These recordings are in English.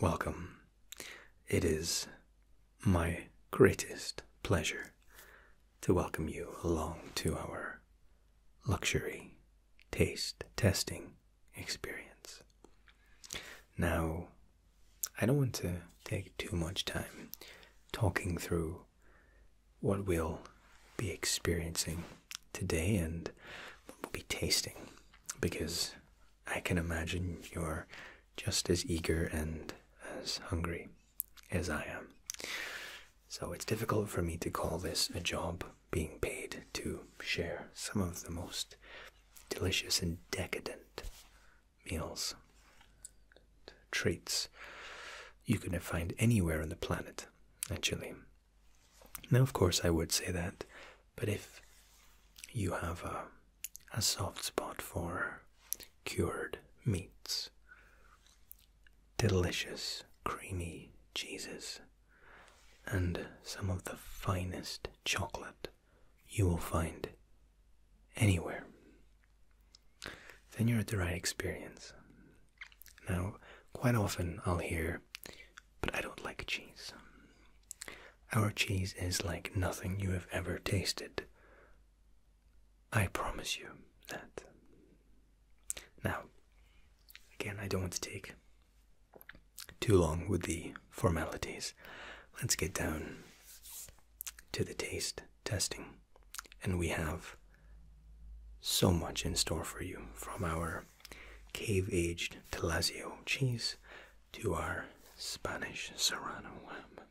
Welcome. It is my greatest pleasure to welcome you along to our luxury taste testing experience. Now, I don't want to take too much time talking through what we'll be experiencing today and we'll be tasting because I can imagine you're just as eager and as hungry as I am. So it's difficult for me to call this a job being paid to share some of the most delicious and decadent meals, traits you can find anywhere on the planet, actually. Now, of course, I would say that, but if you have a, soft spot for cured meats, delicious, creamy cheeses, and some of the finest chocolate you will find anywhere, then you're at the right experience. Now, quite often I'll hear, but I don't like cheese. Our cheese is like nothing you have ever tasted. I promise you that. Now, again, I don't want to take too long with the formalities. Let's get down to the taste testing. And we have so much in store for you from our cave-aged Telazio cheese to our Spanish Serrano lamb.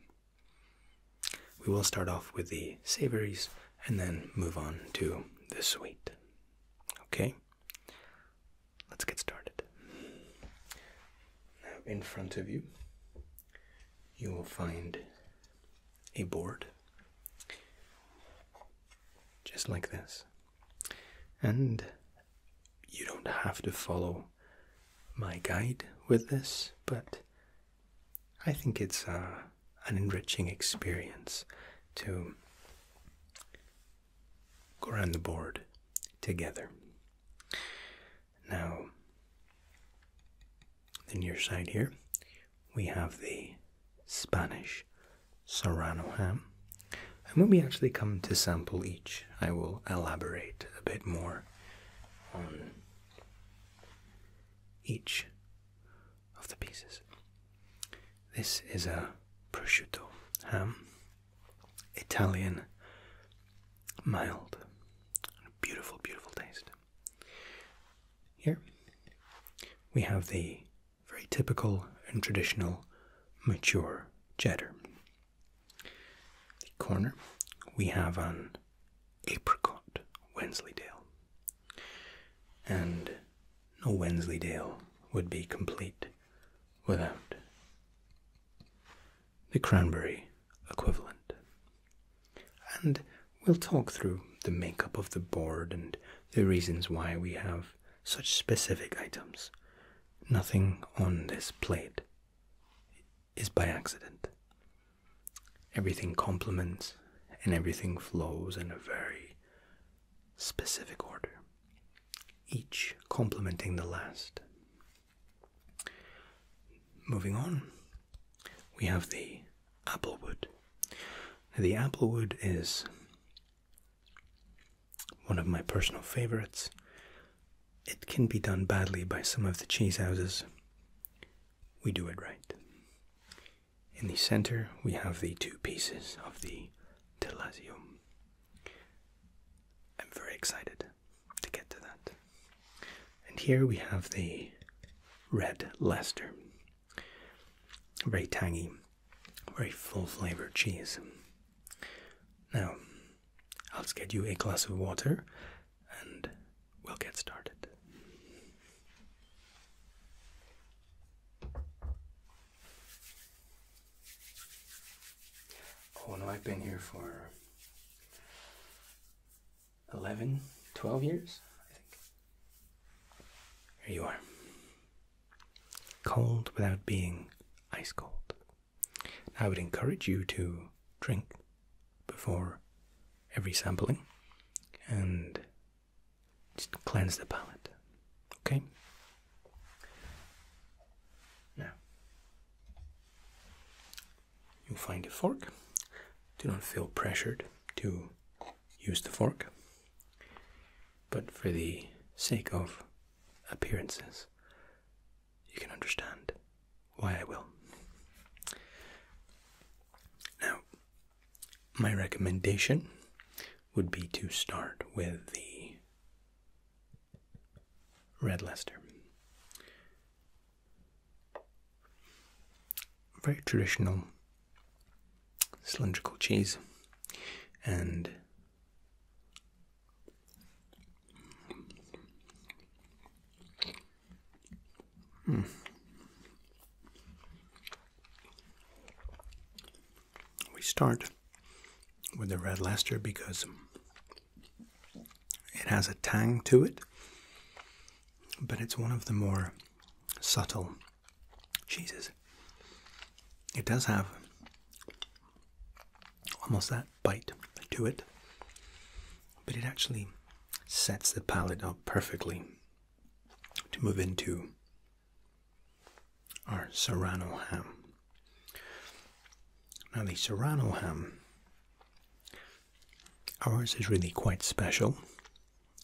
We will start off with the savories and then move on to the sweet. Okay? Let's get started. Now, in front of you, you will find a board just like this. And you don't have to follow my guide with this, but I think it's uh, an enriching experience to go around the board together. Now, the your side here, we have the Spanish Serrano ham. And when we actually come to sample each, I will elaborate a bit more on each of the pieces. This is a prosciutto ham, Italian, mild, beautiful, beautiful taste. Here we have the very typical and traditional mature cheddar. The corner, we have an apricot Wensleydale, and no Wensleydale would be complete without the cranberry equivalent we'll talk through the makeup of the board and the reasons why we have such specific items. Nothing on this plate is by accident. Everything complements and everything flows in a very specific order, each complementing the last. Moving on, we have the applewood. the applewood is one of my personal favorites. It can be done badly by some of the cheese houses. We do it right. In the center, we have the two pieces of the Telazio. I'm very excited to get to that. And here we have the red Leicester. Very tangy, very full flavored cheese. Now, I'll get you a glass of water and we'll get started. Oh no, I've been here for 11, 12 years, I think. Here you are. Cold without being ice cold. I would encourage you to drink before every sampling and cleanse the palate. Okay? Now, you find a fork. Do not feel pressured to use the fork. But for the sake of appearances, you can understand why I will. Now, my recommendation would be to start with the Red Leicester. Very traditional cylindrical cheese and hmm. we start with the red Leicester because it has a tang to it, but it's one of the more subtle Jesus. It does have almost that bite to it, but it actually sets the palate up perfectly to move into our serrano ham. Now, the serrano ham, ours is really quite special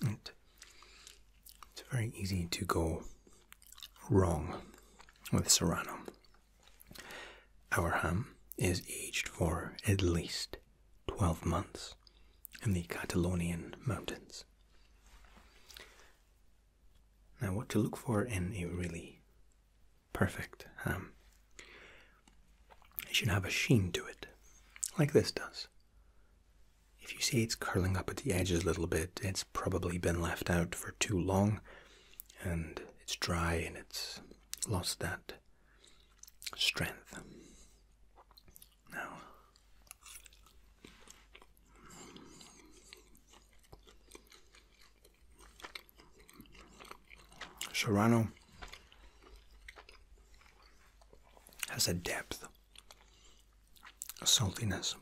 it's very easy to go wrong with Serrano. Our ham is aged for at least 12 months in the Catalonian mountains. Now, what to look for in a really perfect ham? It should have a sheen to it, like this does. If you see it's curling up at the edges a little bit, it's probably been left out for too long and it's dry and it's lost that strength. Now, Serrano has a depth a saltiness,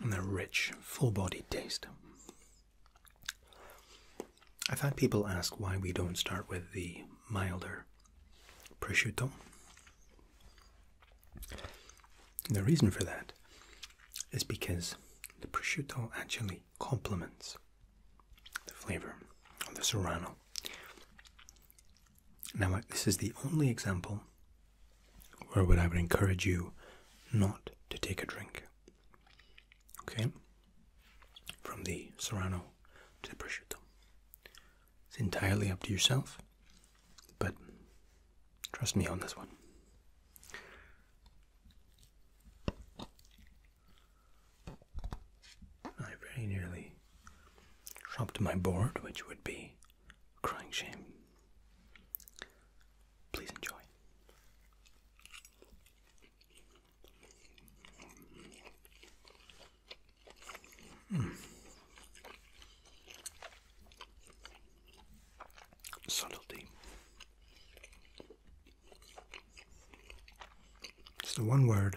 and a rich, full-bodied taste. I've had people ask why we don't start with the milder prosciutto. The reason for that is because the prosciutto actually complements the flavor of the serrano. Now, this is the only example where I would encourage you not to take a drink. Okay? From the Serrano to the prosciutto. It's entirely up to yourself, but trust me on this one. I very nearly dropped my board, which would be crying shame. Please enjoy. Hmm. Subtlety. It's the one word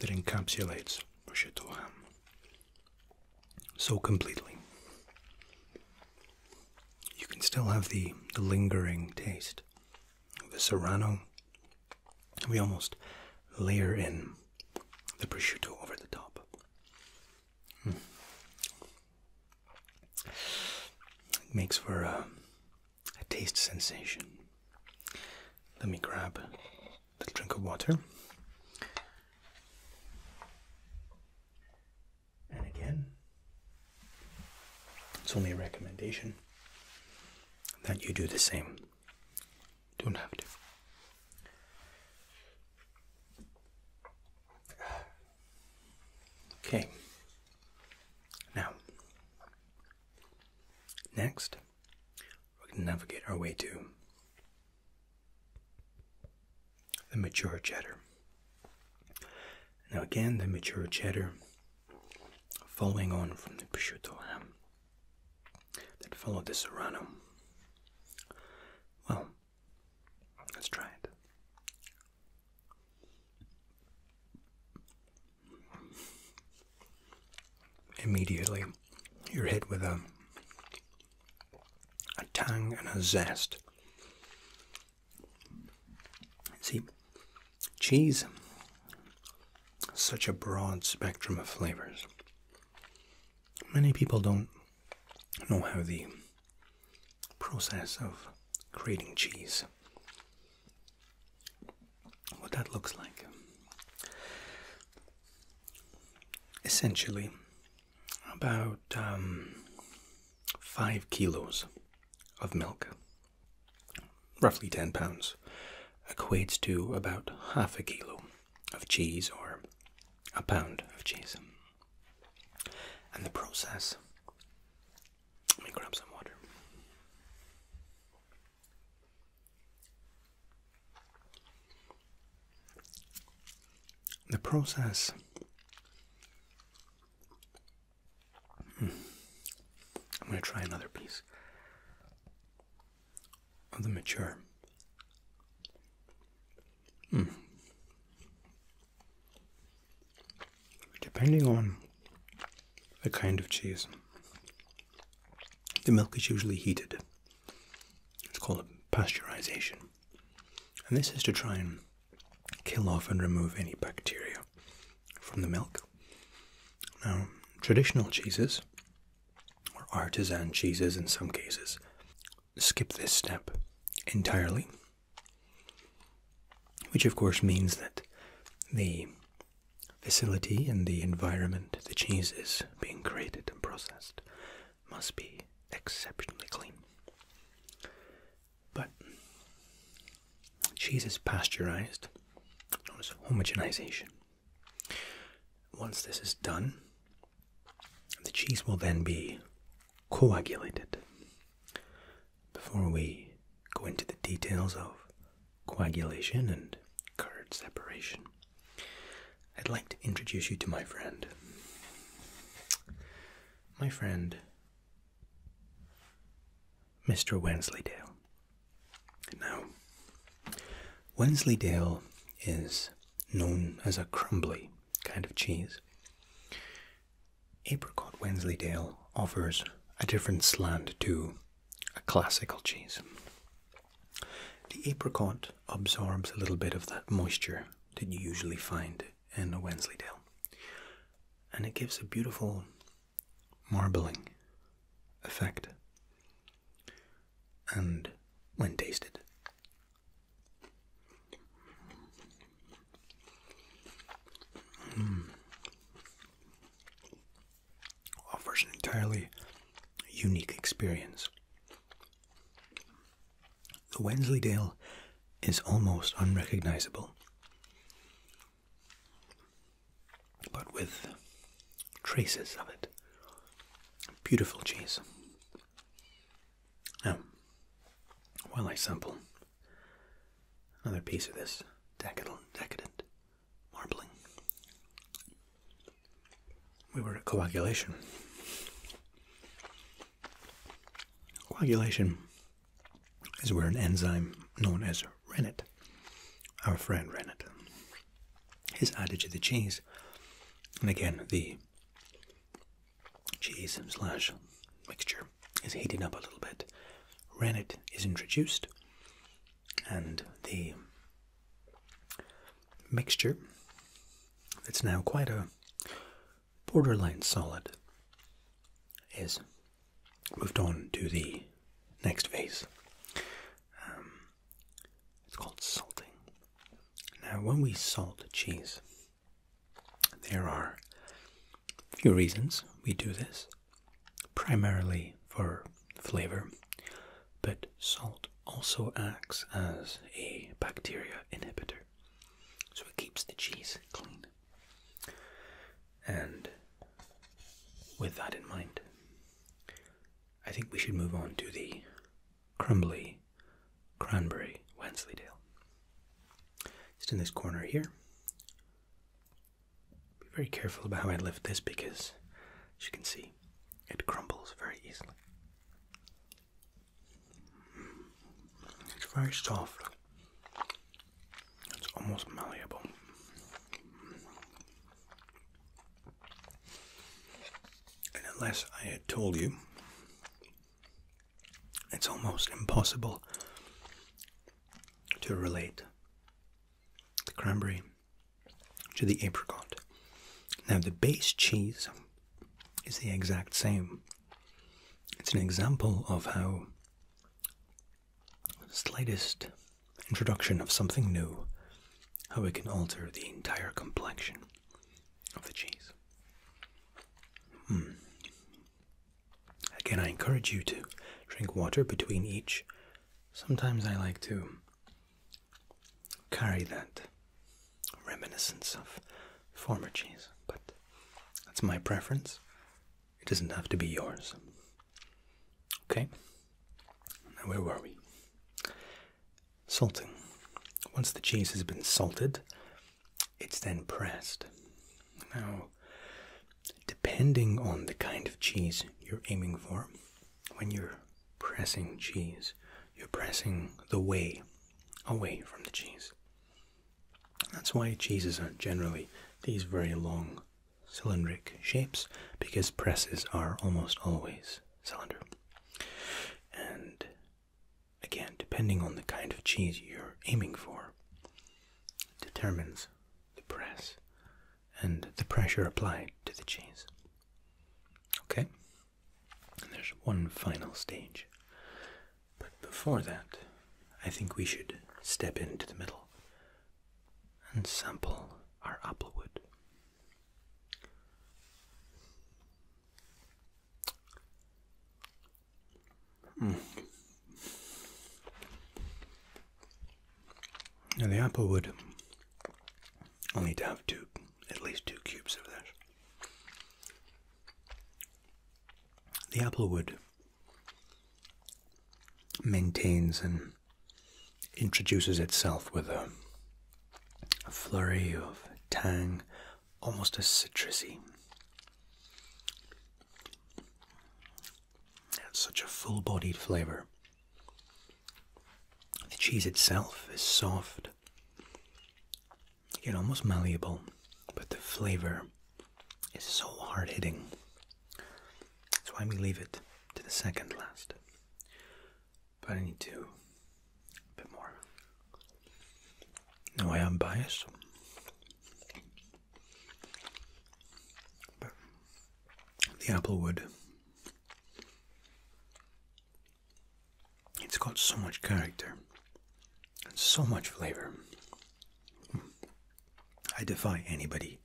that encapsulates Bruschetta ham so completely. You can still have the, the lingering taste of the serrano. We almost layer in the prosciutto over the top. Hmm. It makes for a taste sensation. Let me grab little drink of water. And again, it's only a recommendation that you do the same. Don't have to. Okay. Now, next, we're navigate our way to the mature cheddar. Now, again, the mature cheddar, following on from the prosciutto ham that followed the serrano. Well, let's try it. Immediately, you're hit with a, a tang and a zest. See, cheese, such a broad spectrum of flavors. Many people don't know how the process of creating cheese what that looks like. Essentially, about um, five kilos of milk, roughly 10 pounds, equates to about half a kilo of cheese or a pound of cheese. And the process, let me grab some water. The process hmm. I'm going to try another piece of the mature. Hmm. Depending on the kind of cheese, the milk is usually heated. It's called pasteurization. And this is to try and kill off and remove any bacteria from the milk. Now, traditional cheeses, or artisan cheeses in some cases, skip this step entirely, which of course means that the facility and the environment the cheese is being created and processed must be exceptionally clean. But cheese is pasteurized, known as homogenization. Once this is done, the cheese will then be coagulated. Before we go into the details of coagulation and curd separation. I'd like to introduce you to my friend. My friend, Mr. Wensleydale. Now, Wensleydale is known as a crumbly kind of cheese. Apricot Wensleydale offers a different slant to a classical cheese. The apricot absorbs a little bit of that moisture that you usually find in a Wensleydale, and it gives a beautiful marbling effect. And when tasted, offers an entirely unique experience. The Wensleydale is almost unrecognizable, but with traces of it. Beautiful cheese. Now, while I sample another piece of this decadent, decadent marbling. We were at coagulation. Coagulation is where an enzyme known as rennet, our friend rennet, is added to the cheese. And again, the cheese slash mixture is heating up a little bit. Rennet is introduced, and the mixture that's now quite a borderline solid is moved on to the next phase. Um, it's called salting. Now, when we salt cheese, there are a few reasons we do this primarily for flavor, but salt also acts as a bacteria inhibitor. So it keeps the cheese clean. And with that in mind, I think we should move on to the crumbly cranberry Wensleydale. Just in this corner here, be very careful about how I lift this because, as you can see, it crumbles very easily. It's very soft. It's almost malleable. And unless I had told you, it's almost impossible to relate the cranberry to the apricot. Now, the base cheese is the exact same. It's an example of how slightest introduction of something new, how it can alter the entire complexion of the cheese. Mm. Again, I encourage you to drink water between each. Sometimes I like to carry that reminiscence of former cheese, but that's my preference. It doesn't have to be yours. Okay? Now, where were we? Salting. Once the cheese has been salted, it's then pressed. Now, depending on the kind of cheese you're aiming for, when you're pressing cheese, you're pressing the whey away from the cheese. That's why cheeses are generally these very long cylindrical shapes, because presses are almost always cylinder. And again, depending on the kind of cheese you're aiming for, determines the press and the pressure applied to the cheese. Okay? there's one final stage. But before that, I think we should step into the middle and sample our applewood. Mm. And the apple would i need to have two, at least two cubes of this. The apple maintains and introduces itself with a, flurry of tang, almost a citrusy. such a full bodied flavor. The cheese itself is soft, yet almost malleable, but the flavor is so hard hitting. That's why we leave it to the second last. But I need to a bit more. No, I am biased the applewood. It's got so much character and so much flavor. I defy anybody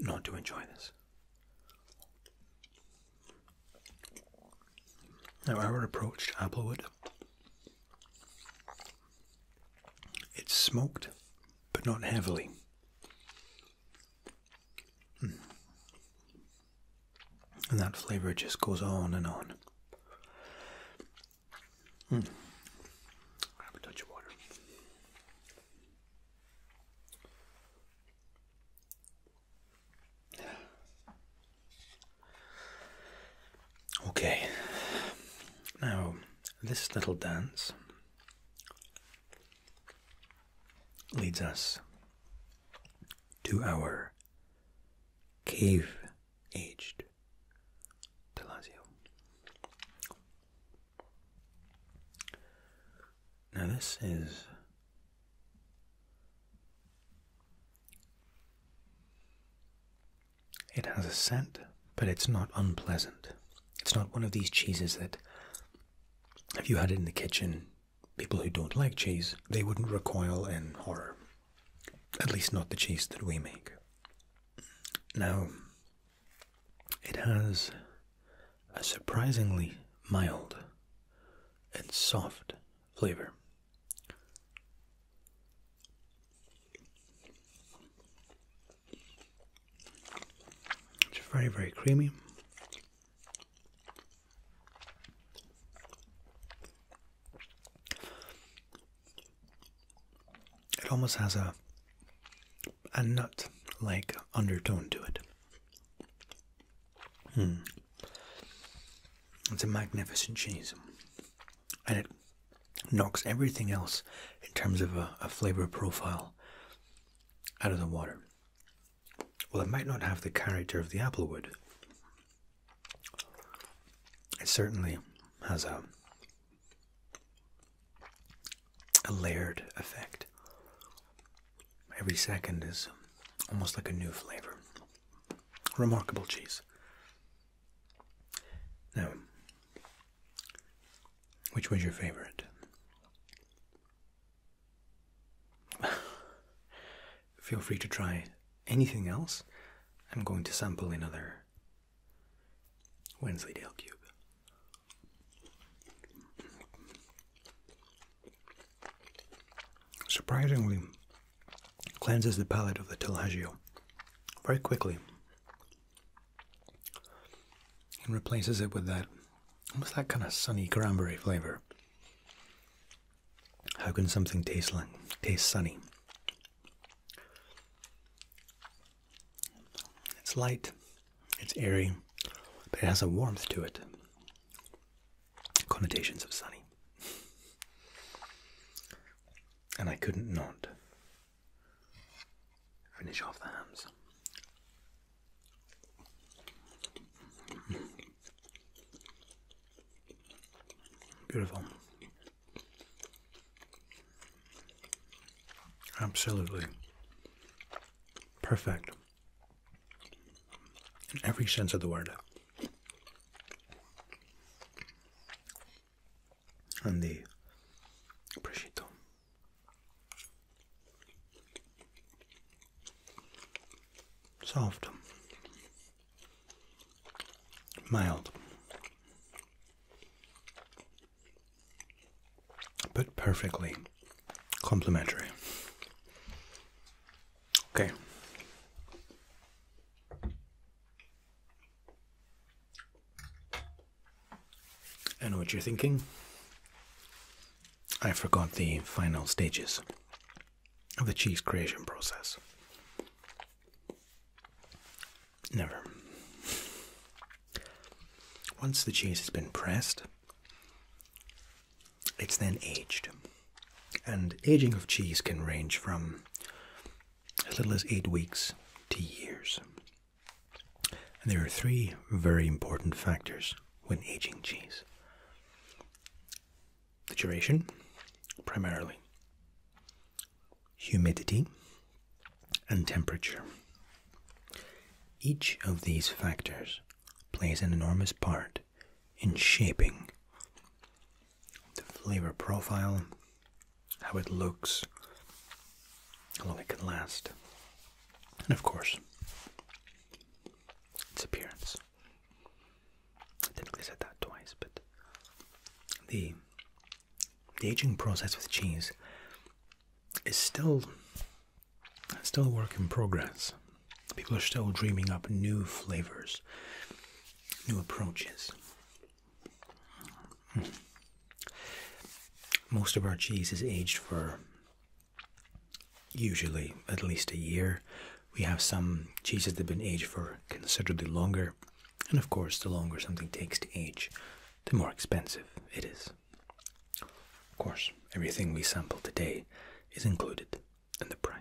not to enjoy this. Now, I were approached Applewood it's smoked, but not heavily. Hmm. And that flavour just goes on and on. Hmm. have a touch of water. Okay, now this little dance leads us to our cave aged Telazio. Now, this is it has a scent, but it's not unpleasant. It's not one of these cheeses that, if you had it in the kitchen, people who don't like cheese, they wouldn't recoil in horror. At least not the cheese that we make. Now, it has a surprisingly mild and soft flavor. It's very, very creamy. It almost has a a nut-like undertone to it. Hmm. It's a magnificent cheese and it knocks everything else in terms of a, flavor profile out of the water. Well, it might not have the character of the applewood. It certainly has a a layered effect. Every second is almost like a new flavor. Remarkable cheese. Now, which was your favorite? Feel free to try anything else. I'm going to sample another Wensleydale cube. Surprisingly, cleanses the palate of the Tellagio very quickly and replaces it with that almost that kind of sunny cranberry flavor. How can something taste like taste sunny? It's light, it's airy, but it has a warmth to it. Connotations of sunny. And I couldn't not Finish off the hams. Beautiful. Absolutely perfect in every sense of the word and the prosciutto. Soft, mild, but perfectly complementary. Okay. I know what you're thinking. I forgot the final stages of the cheese creation process. Never. Once the cheese has been pressed, it's then aged. And aging of cheese can range from as little as eight weeks to years. And there are three very important factors when aging cheese the duration, primarily, humidity, and temperature. Each of these factors plays an enormous part in shaping the flavor profile how it looks, how long it can last, and of course, its appearance. I technically said that twice, but the, the aging process with cheese is still still a work in progress. People are still dreaming up new flavors, new approaches. Most of our cheese is aged for usually at least a year. We have some cheeses that have been aged for considerably longer, and of course, the longer something takes to age, the more expensive it is. Of course, everything we sample today is included in the price.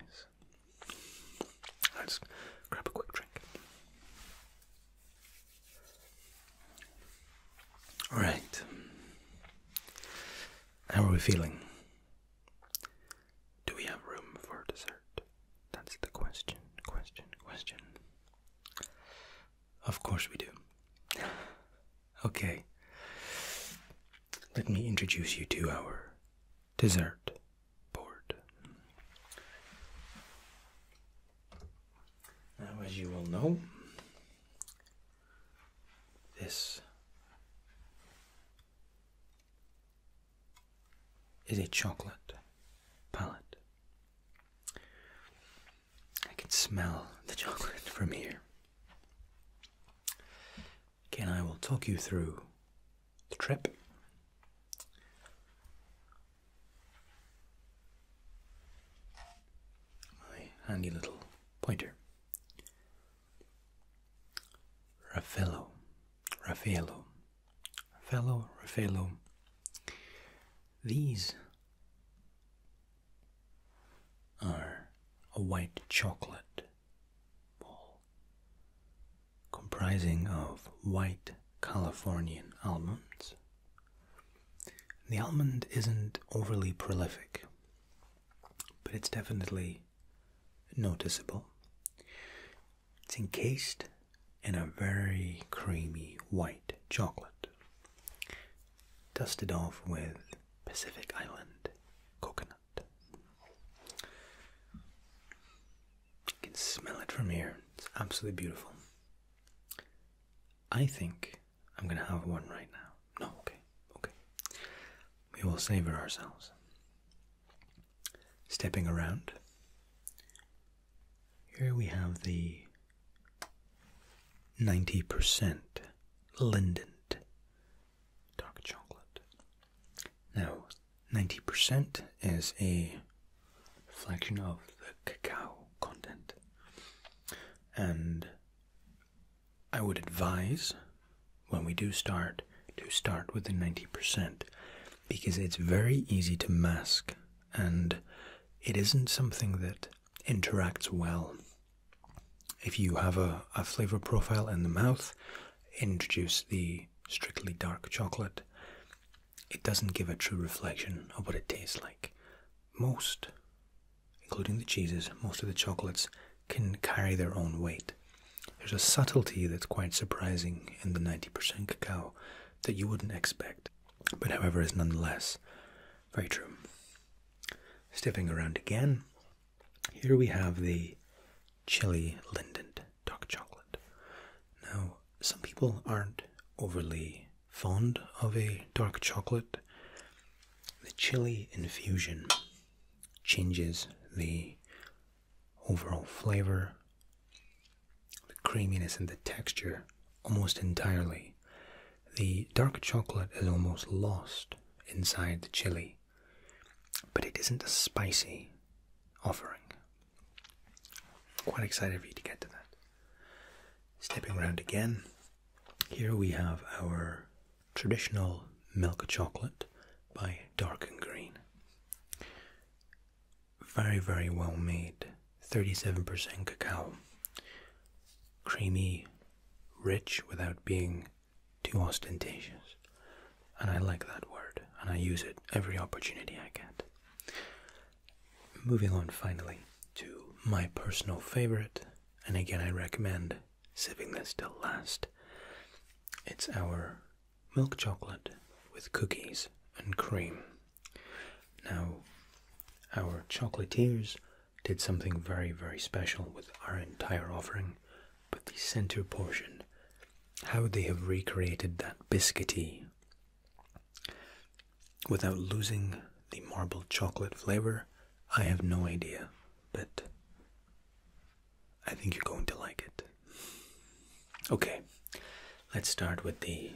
Let's grab a quick drink. All right. How are we feeling? Do we have room for dessert? That's the question, question, question. Of course we do. Okay. Let me introduce you to our dessert board. Now, as you will know, this is a chocolate palette. I can smell the chocolate from here. Again, I will talk you through the trip. My handy little pointer. Raffaello, Raffaello, Raffaello, Raffaello. These are a white chocolate ball comprising of white Californian almonds. The almond isn't overly prolific, but it's definitely noticeable. It's encased in a very creamy white chocolate, dusted off with Pacific Island coconut. You can smell it from here. It's absolutely beautiful. I think I'm gonna have one right now. No, okay, okay. We will savor ourselves. Stepping around. Here we have the 90% Lindent dark chocolate. No. 90% is a reflection of the cacao content. And I would advise when we do start to start with the 90% because it's very easy to mask and it isn't something that interacts well. If you have a, a flavor profile in the mouth, introduce the strictly dark chocolate it doesn't give a true reflection of what it tastes like. Most, including the cheeses, most of the chocolates can carry their own weight. There's a subtlety that's quite surprising in the 90% cacao that you wouldn't expect, but however, is nonetheless very true. Stepping around again, here we have the chili lindent dark chocolate. Now, some people aren't overly fond of a dark chocolate. The chili infusion changes the overall flavor, the creaminess, and the texture almost entirely. The dark chocolate is almost lost inside the chili, but it isn't spicy offering. Quite excited for you to get to that. Stepping around again, here we have our traditional milk chocolate by Dark and Green. Very, very well made, 37% cacao. Creamy, rich without being too ostentatious. And I like that word, and I use it every opportunity I get. Moving on finally to my personal favorite, and again, I recommend saving this till last. It's our milk chocolate with cookies and cream. Now, our chocolatiers did something very, very special with our entire offering, but the center portion, how they have recreated that biscuity Without losing the marble chocolate flavor, I have no idea, but I think you're going to like it. Okay, let's start with the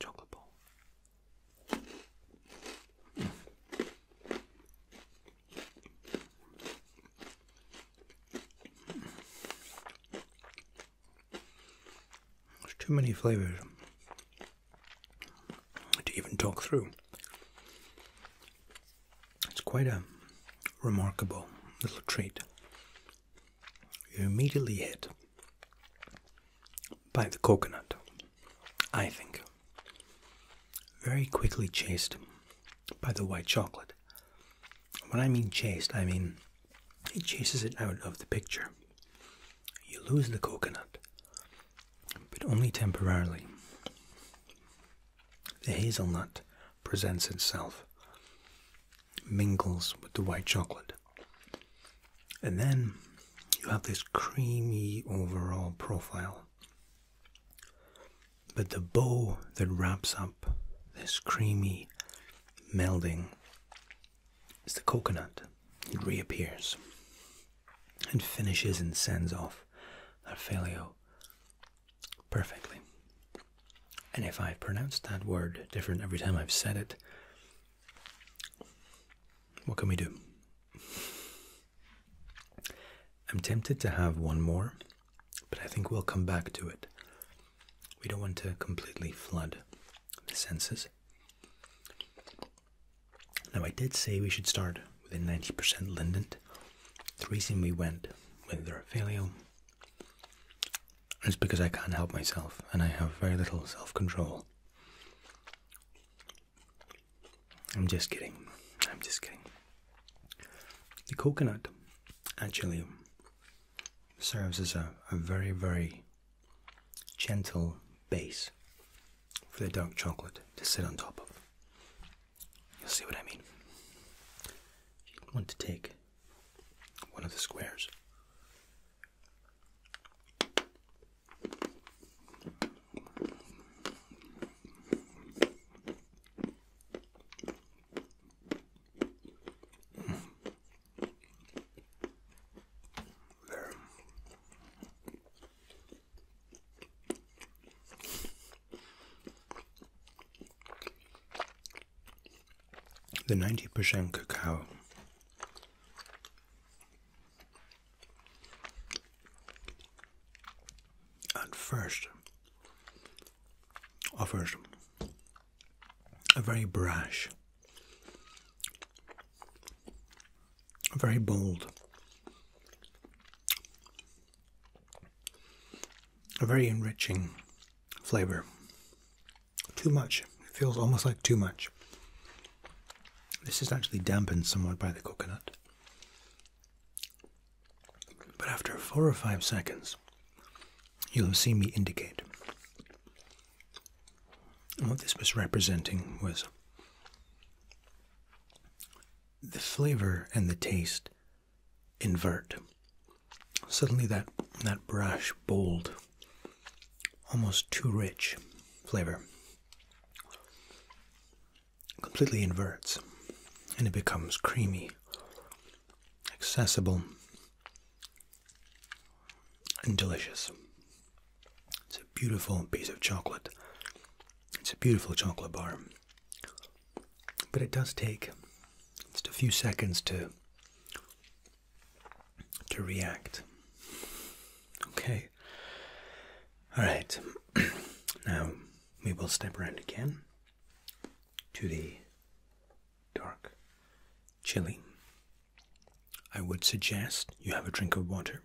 chocolate ball. There's too many flavors to even talk through. It's quite a remarkable little treat. You're immediately hit by the coconut, I think. Very quickly chased by the white chocolate. When I mean chased, I mean it chases it out of the picture. You lose the coconut, but only temporarily. The hazelnut presents itself, mingles with the white chocolate, and then you have this creamy overall profile. But the bow that wraps up this creamy melding is the coconut. It reappears and finishes and sends off that filio perfectly. And if I've pronounced that word different every time I've said it, what can we do? I'm tempted to have one more but I think we'll come back to it. We don't want to completely flood the senses. Now, I did say we should start with a 90% Lindent. The reason we went with the Raphaelio is because I can't help myself and I have very little self control. I'm just kidding. I'm just kidding. The coconut actually serves as a, very, very gentle base for the dark chocolate to sit on top of. You'll see what I mean. want to take one of the squares. The 90% cacao at first offers a very brash, a very bold, a very enriching flavor. Too much. It feels almost like too much. This is actually dampened somewhat by the coconut. But after four or five seconds, you'll see me indicate. what this was representing was the flavor and the taste invert. Suddenly, that, that brash, bold, almost too rich flavor completely inverts and it becomes creamy accessible, and delicious. It's a beautiful piece of chocolate. It's a beautiful chocolate bar. But it does take just a few seconds to to react. Okay. All right. now we will step around again to the dark, chilly, I would suggest you have a drink of water.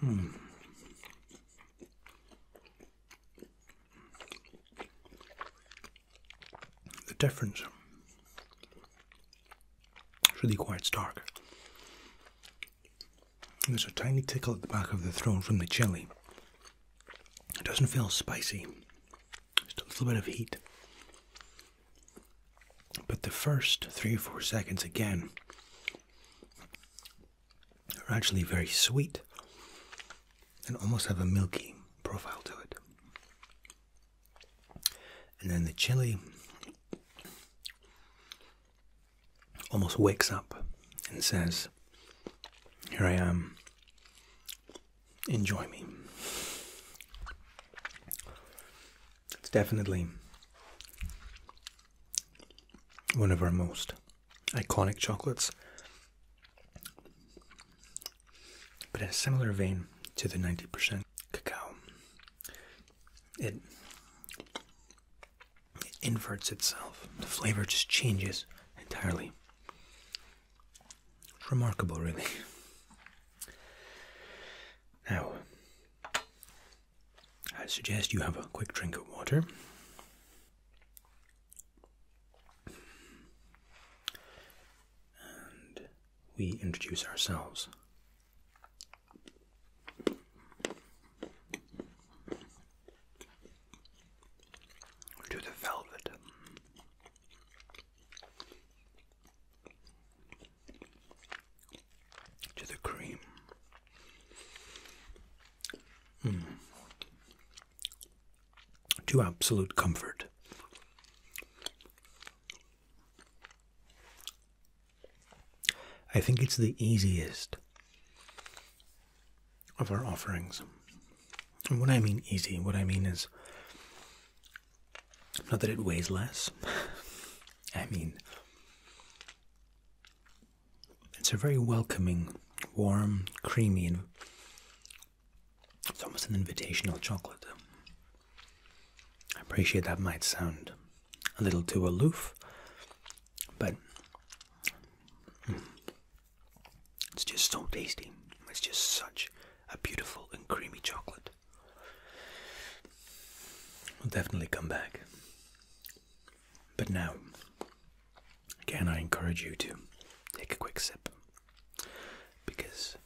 Hmm. The difference is really quite stark. There's a tiny tickle at the back of the throat from the chili. It doesn't feel spicy, just a little bit of heat. But the first three or four seconds again are actually very sweet and almost have a milky profile to it. And then the chili almost wakes up and says, Here I am, enjoy me. It's definitely one of our most iconic chocolates. But in a similar vein to the 90% cacao, it, inverts itself. The flavor just changes entirely. remarkable, really. Now, I suggest you have a quick drink of water. And we introduce ourselves. To the velvet to the cream. Hmm. To absolute comfort. I think it's the easiest of our offerings. And what I mean easy, what I mean is not that it weighs less. I mean, it's a very welcoming, warm, creamy, and it's almost an invitational chocolate. I appreciate that might sound a little too aloof, but mm, it's just so tasty. It's just such a beautiful and creamy chocolate i will definitely come back. But now, again, I encourage you to take a quick sip because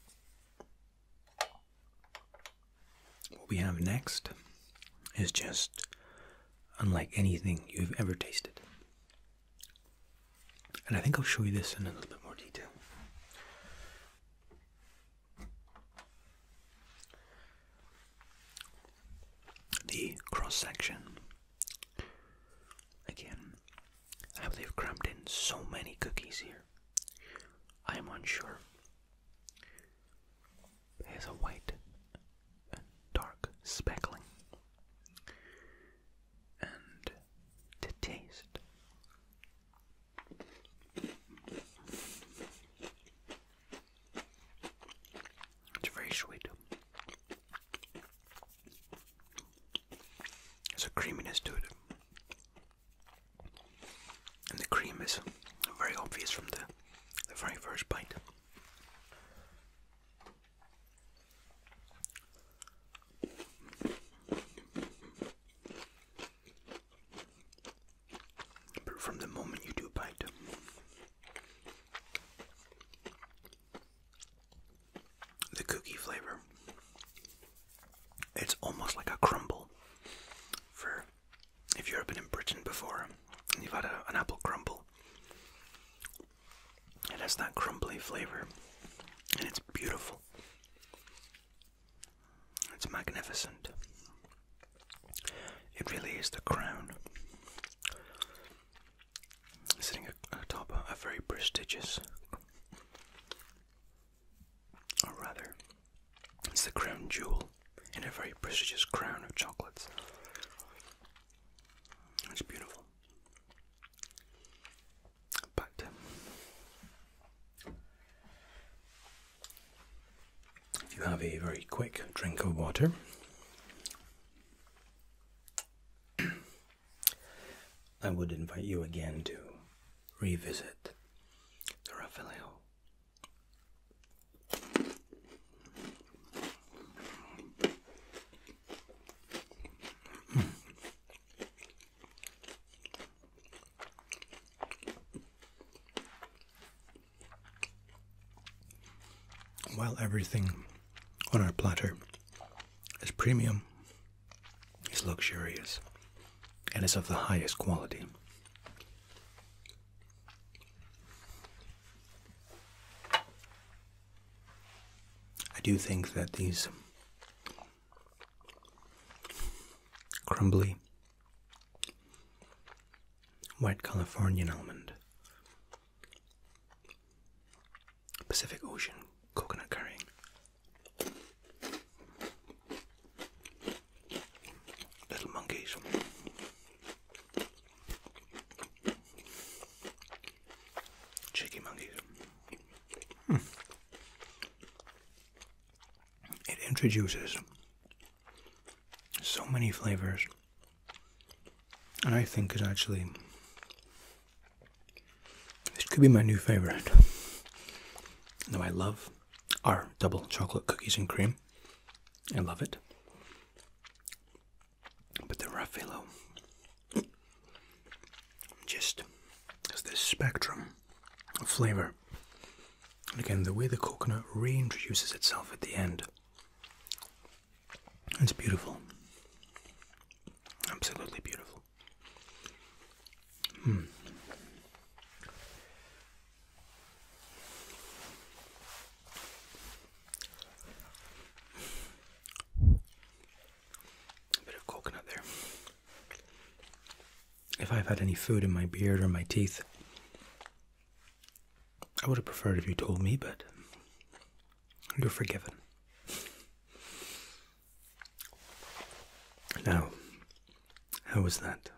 what we have next is just unlike anything you've ever tasted. And I think I'll show you this in a little bit more detail. The cross section. Again, I believe crammed in so many cookies here. I am unsure. There's a white and dark speckling. And to taste, it's very sweet. There's a creaminess to it. And the cream is very obvious from the, the very first bite. But from the moment you do bite, the cookie flavor, it's almost like a crumble. For if you've ever been in Britain before and you've had an apple crumble, it has that crumbly flavor and it's beautiful. It's magnificent. It really is the crown. Sitting atop a very prestigious, or rather, it's the crown jewel in a very prestigious crown of chocolates. It's beautiful. But if you have a very quick drink of water, I would invite you again to revisit the Raphael. While everything on our platter is premium, is luxurious, and is of the highest quality. I do think that these crumbly White Californian almond. Pacific Ocean coconut curry, Little monkeys. Cheeky monkeys. Hmm. It introduces so many flavors, and I think is actually this could be my new favorite. Though I love our double chocolate cookies and cream, I love it. But the Raffaello just has this spectrum of flavor and again, the way the coconut reintroduces itself at the end. It's beautiful. Absolutely beautiful. Hmm. A bit of coconut there if I've had any food in my beard or my teeth. I would have preferred if you told me, but you're forgiven. Now, how was that?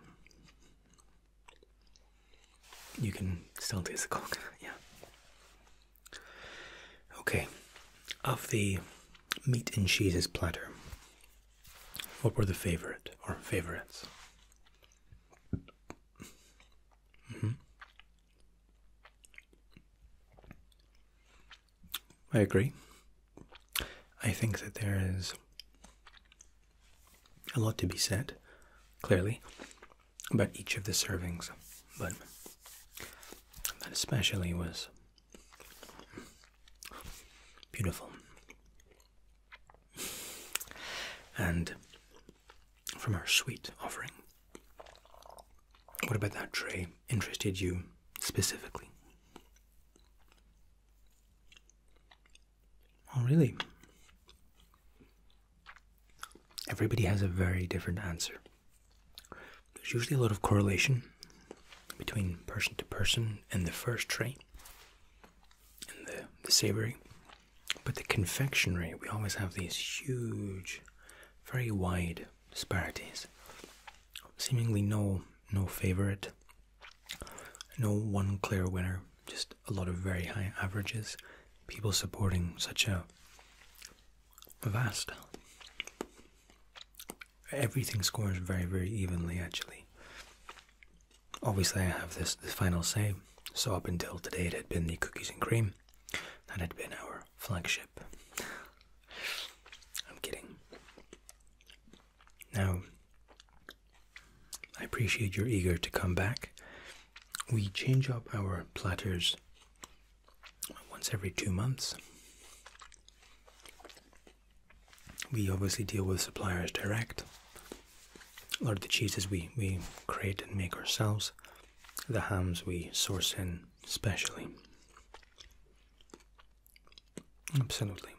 You can still taste the coconut, yeah. Okay, of the meat and cheeses platter, what were the favorite or favorites? Mm-hmm. I agree. I think that there is a lot to be said, clearly, about each of the servings, but that especially was beautiful. And from our sweet offering, what about that tray interested you specifically? Oh, really? Everybody has a very different answer. There's usually a lot of correlation between person to person in the first tray and the, the savory. But the confectionery, we always have these huge, very wide disparities. Seemingly no no favorite, no one clear winner, just a lot of very high averages, people supporting such a vast everything scores very, very evenly actually. Obviously, I have this the final say. So up until today, it had been the cookies and cream. That had been our flagship. I'm kidding. Now, I appreciate your eager to come back. We change up our platters once every two months we obviously deal with suppliers direct. A lot of the cheeses we, we create and make ourselves. The hams we source in specially. Absolutely.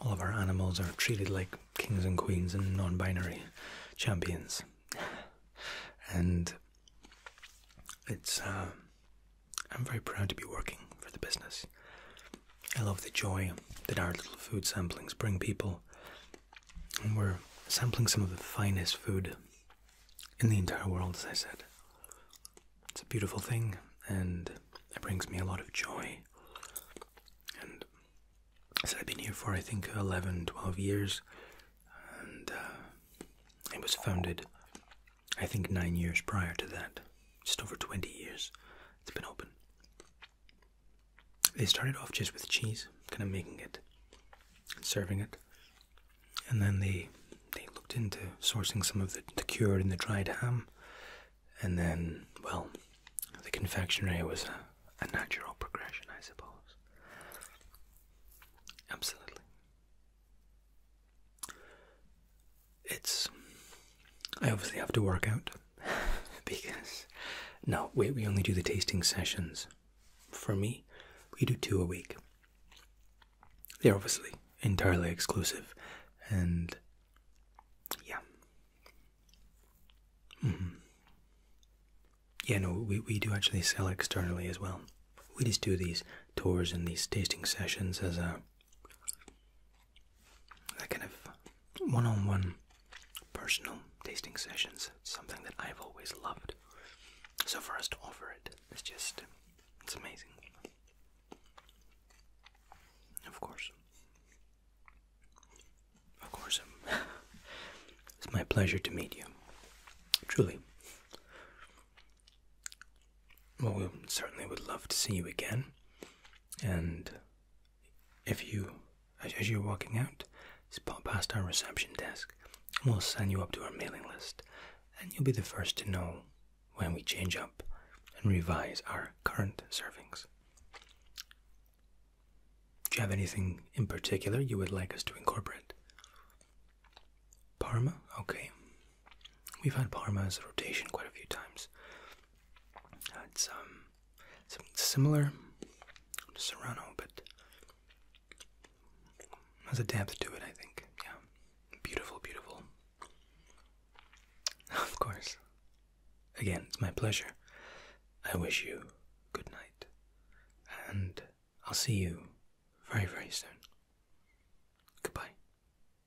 All of our animals are treated like kings and queens and non binary champions. And it's uh, I'm very proud to be working for the business. I love the joy that our little food samplings bring people. And we're sampling some of the finest food in the entire world, as I said. It's a beautiful thing, and it brings me a lot of joy. And so I've been here for, I think, 11, 12 years, and uh, it was founded I think nine years prior to that, just over 20 years, it's been open. They started off just with cheese, kind of making it, and serving it, and then they they looked into sourcing some of the, cured and the dried ham, and then well, the confectionery was a natural progression, I suppose. Absolutely it's I obviously have to work out because no, we we only do the tasting sessions. For me, we do two a week. They're obviously entirely exclusive, and yeah, mm-hmm. yeah. No, we we do actually sell externally as well. We just do these tours and these tasting sessions as a that kind of one on one personal tasting sessions, something that I've always loved. So for us to offer it, it's just, it's amazing. Of course. Of course. Um, it's my pleasure to meet you. Truly well, we certainly would love to see you again. And if you, as you're walking out, pop past our reception desk, we'll sign you up to our mailing list, and you'll be the first to know when we change up and revise our current servings. Do you have anything in particular you would like us to incorporate? Parma? Okay. We've had Parma as a rotation quite a few times. it's um, similar to Serrano, but has a depth to it, I think. Yeah, beautiful, beautiful. Of course. Again, it's my pleasure. I wish you good night, and I'll see you very, very soon. Goodbye.